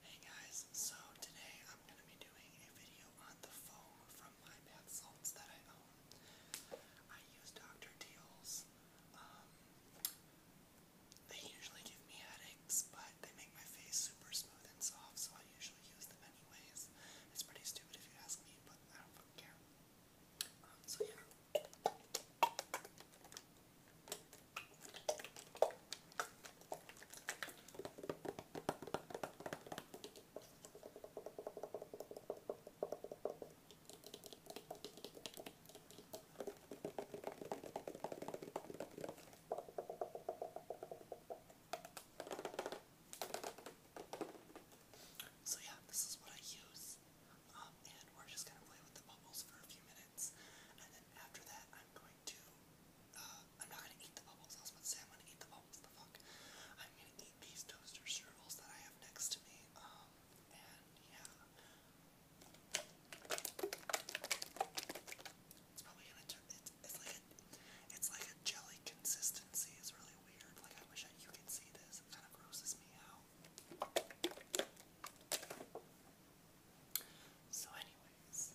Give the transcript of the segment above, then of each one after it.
Hey guys, so today I'm going to be doing a video on the foam from my bath salts that I own. I use Dr. Deal's. Um, they usually give me headaches, but they make my face super smooth and soft, so I usually use them anyways. It's pretty stupid if you ask me, but I don't care. Um, so yeah. So yeah, this is what I use. Um, and we're just gonna play with the bubbles for a few minutes. And then after that, I'm going uh, I'm not going to eat the bubbles. I was about to say I'm going to eat the bubbles. The fuck. I'm going to eat these toaster strudels that I have next to me. Um, and yeah. It's probably gonna turn. It's, it's like a, it's like a jelly consistency. It's really weird. Like I wish I, you could see this. It kind of grosses me out. So, anyways,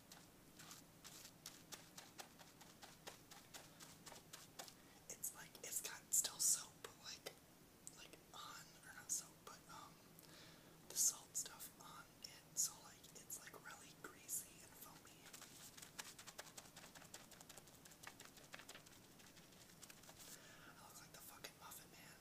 It's like it's got still soap, but like like on or not soap, but um the salt stuff on it, so like it's like really greasy and foamy. I look like the fucking Muffin Man.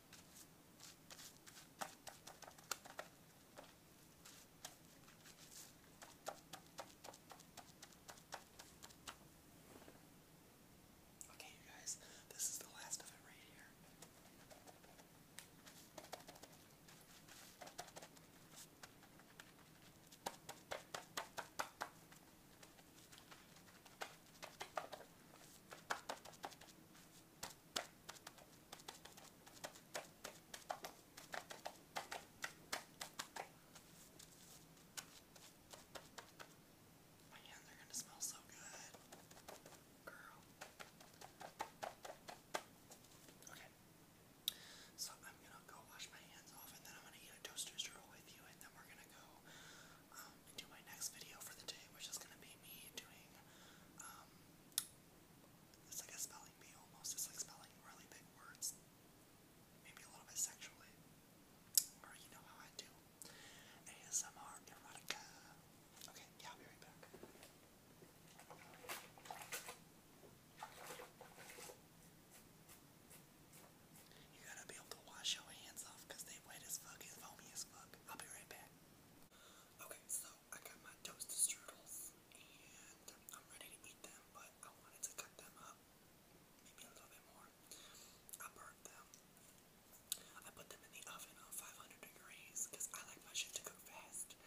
Okay, you guys, this is the last of it right here. My hands are gonna smell so good. Girl. Okay. So I'm gonna go wash my hands off and then I'm gonna eat a toaster strudel with you and then we're gonna go um, do my next video for the day, which is gonna be me doing um, it's like a spelling bee almost. It's like spelling really big words. Maybe a little bit sexually. Or you know how I do. ASMR erotica. Okay, yeah, I'll be right back. You gotta be able to wash your hands off because they wet as fuck and foamy as fuck. I'll be right back. Okay, so I got my toasted strudels and I'm ready to eat them, but I wanted to cut them up maybe a little bit more. I burnt them. I put them in the oven on 500 degrees I like my shit to go fast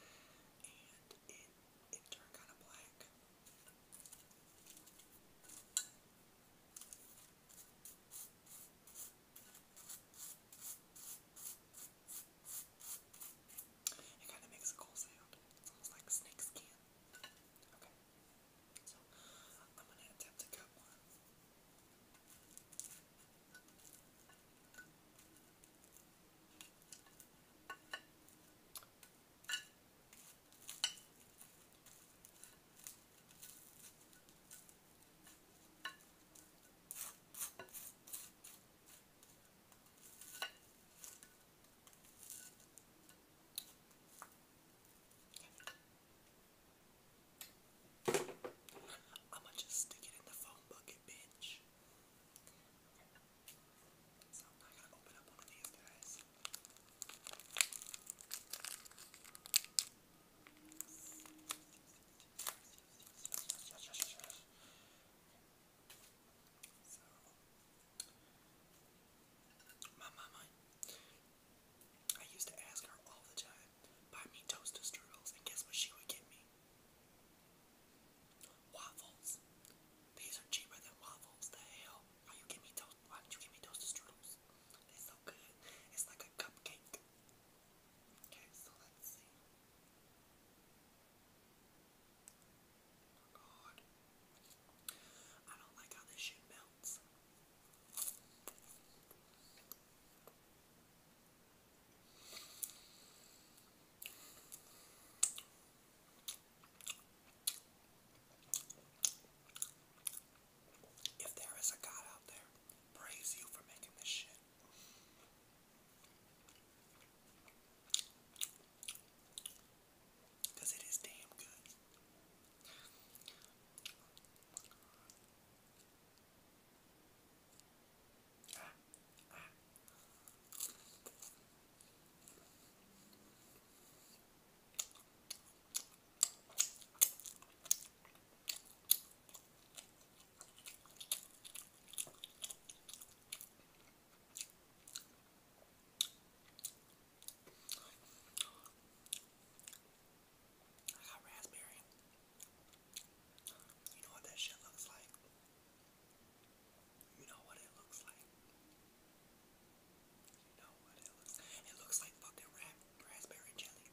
and it turned kind of black. It kind of makes a cool sound. It's almost like snake Okay. So I'm gonna attempt to cut one. I'ma just stick it in the phone bucket, bitch. So I gotta open up one of these guys my mama, I used to ask her all the time, buy me toaster strudels, and guess what she would get me? Waffles. These are cheaper than waffles. The hell? Why you give me toast? Why don't you give me toaster strudels? they so good. It's like a cupcake. Okay, so let's see. Oh god. I don't like how this shit melts. If there is a God out there, praise you for making this shit. it is damn good. I got raspberry. You know what that shit looks like? You know what it looks like? You know what it looks like? It looks like fucking rap, raspberry jelly.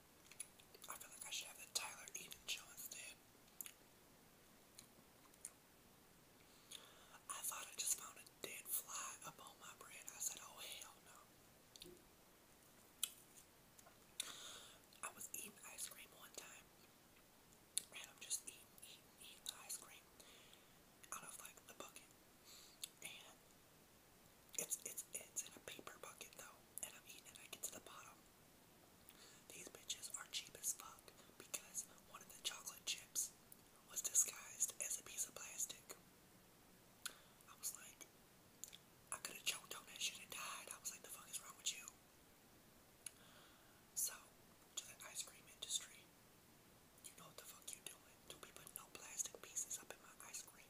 I feel like I should have the Tyler even show instead. I thought I just found a dead fly up on my bread. I said, oh hell no. I was eating ice cream one time. And I'm just eating, eating, eating the ice cream out of like the bucket. And it's it's it's in a paper bucket though. And I'm eating it, I get to the bottom these bitches are cheap as fuck because one of the chocolate chips was disguised as a piece of plastic. I was like, I could have choked on that shit and died. I was like, the fuck is wrong with you? So, to the ice cream industry, you know what the fuck you doing. Don't be putting no plastic pieces up in my ice cream.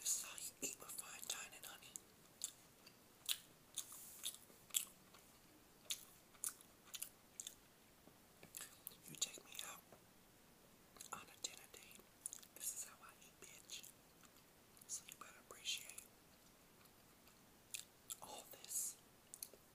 This is how you eat with fine tine honey. You take me out on a dinner date. This is how I eat, bitch. So you better appreciate all this.